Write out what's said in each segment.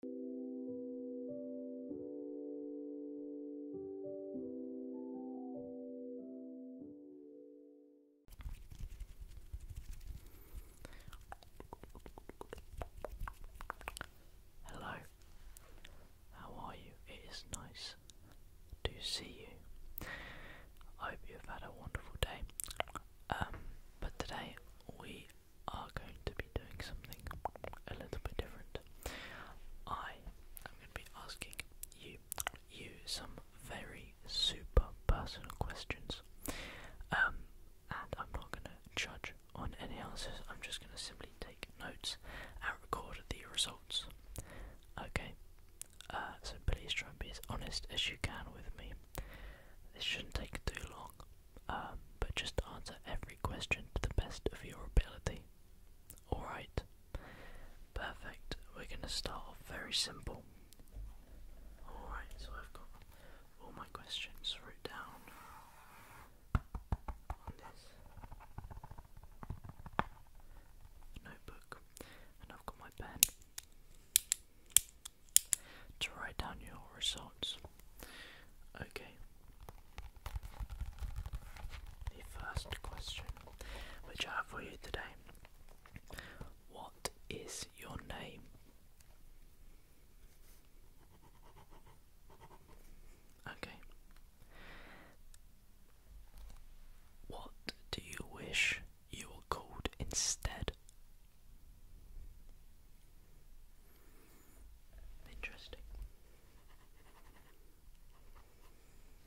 Hello, how are you? It is nice to see you. I hope you've had a wonderful day. Um, but today we are going to be doing something a little bit different. I am going to be asking you you some very super personal questions. Um, and I'm not going to judge on any answers. I'm just going to simply take notes and record the results. Okay. Uh, so please try and be as honest as you can with me. This shouldn't take too long. Um, but just answer every question to the best of your ability. Alright. Perfect. We're going to start off very simple. Alright, so I've got all my questions wrote down on this notebook, and I've got my pen to write down your results. Okay. The first question which I have for you today. What is your name? Okay. What do you wish you were called instead Interesting.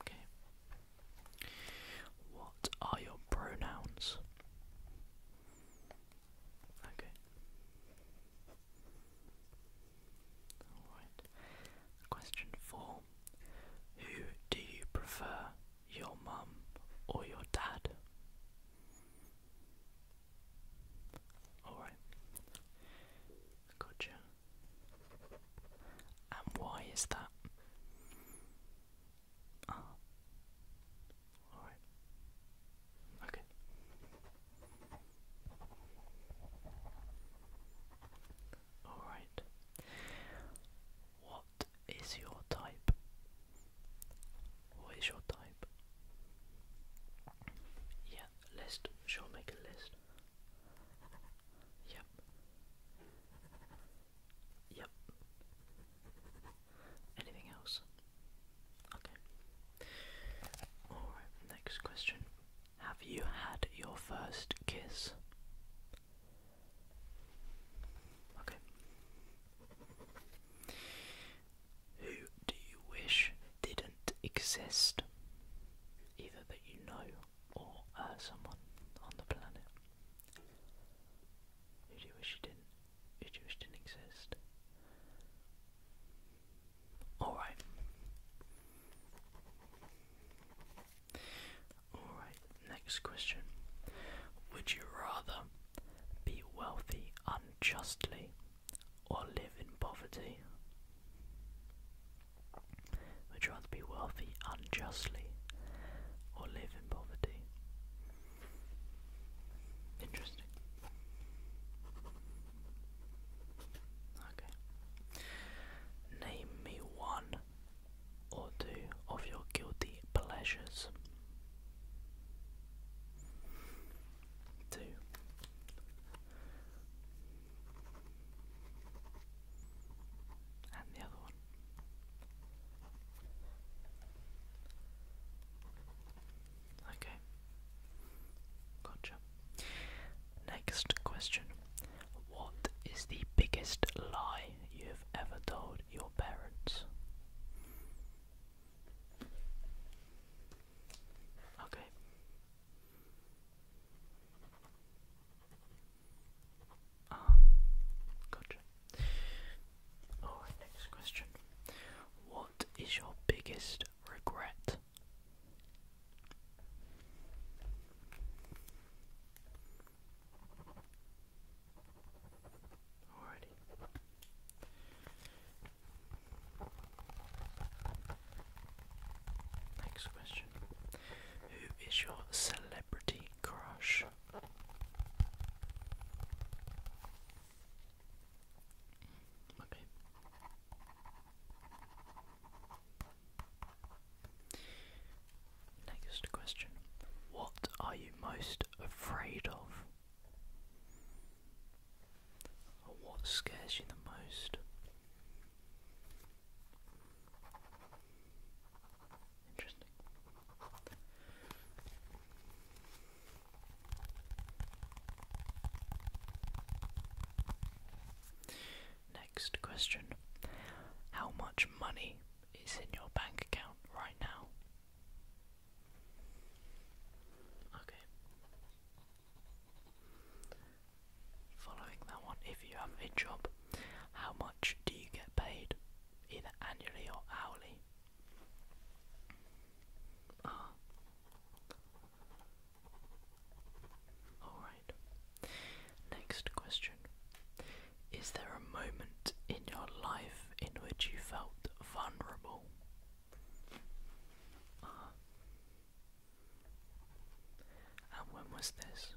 Okay. What are your pronouns? Okay. Alright. Question four. Who do you prefer your mum or your dad. Alright. Gotcha. And why is that? Ah. Alright. Okay. Alright. What what is your type? What is your type? Yeah, list. Sure, make a list. Yep. Yep. Anything else? Okay. Alright, next question. Have you had your first kiss? Okay. Who do you wish didn't exist? Either that you know or uh, someone on the planet. Who do you wish didn't? Who do you wish didn't exist? Alright. Alright, next question. Would you rather be wealthy unjustly or live in poverty? Would you rather be wealthy unjustly or live in poverty? Interesting. Okay. Name me one or two of your guilty pleasures. Two. And the other one. Okay. Gotcha. Next question. What is the biggest lie you have ever told your parents? Okay. Ah, gotcha. Alright, next question. What is your biggest regret. Alrighty. Next question. Who is your celebrity crush? Okay. Next question. What are you most afraid of? Or what scares you the most? Interesting. Next question How much money is in your bank account right now? Okay. Following that one, if you have a job, how much do you get paid, either annually or hourly? Ah. Oh. Alright. Next question. Is there a moment in your life in which you felt vulnerable? Ah. And when was this?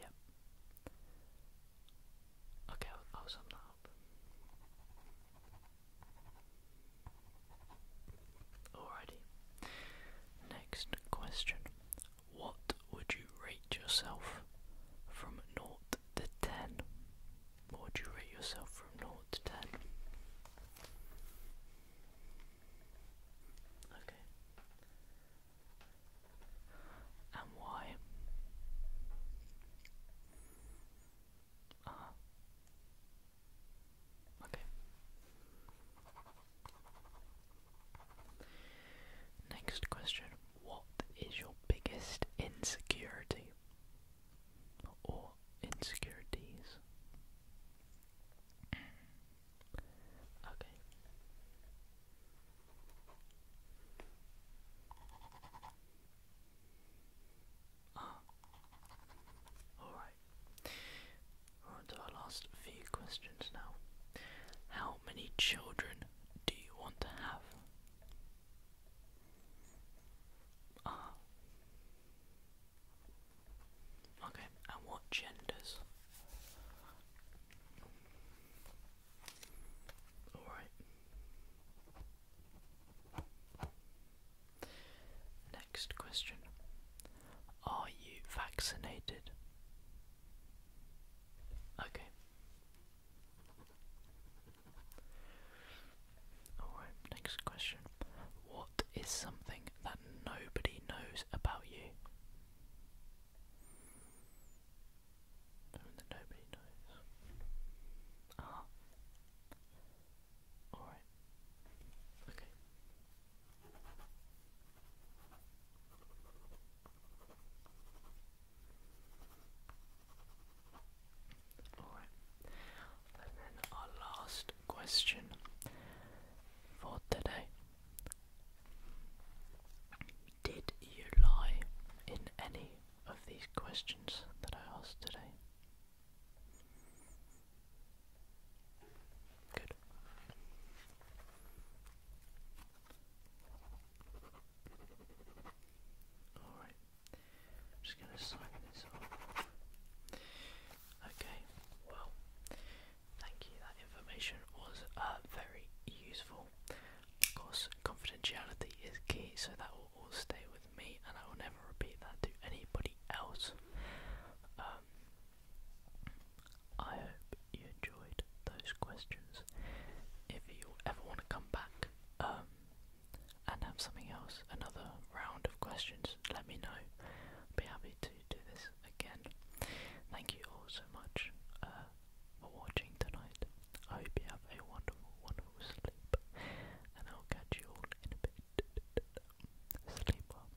Yep. Okay, i Alrighty. Next question. What would you rate yourself from 0 to 10? What would you rate yourself from 0 to 10? Okay and why? Uh Okay. Next question. What is your biggest insecurity or insecurities? Okay. Ah. Alright. on to our last few questions now. How many children do you want to have? Ah. Okay, and what genders? All right. Next question. Are you vaccinated? Okay. Alright, next question. What is something that nobody knows about you? Something that Alright. Okay. Alright. And then our last question for today did you lie in any of these questions that I asked today? Good. Alright, I'm just going to sign this off. Okay, well, Thank you, that information was uh, very useful. Of course, confidentiality is key, so that will all stay with me and I will never repeat that to anybody else. Um, I hope you enjoyed those questions. If you ever want to come back um, and have something else, another round of questions, let me know. be happy to do this again. Thank you all so much uh, for watching tonight. I hope you have a wonderful, wonderful sleep, and I'll catch you all in a bit. Sleep well.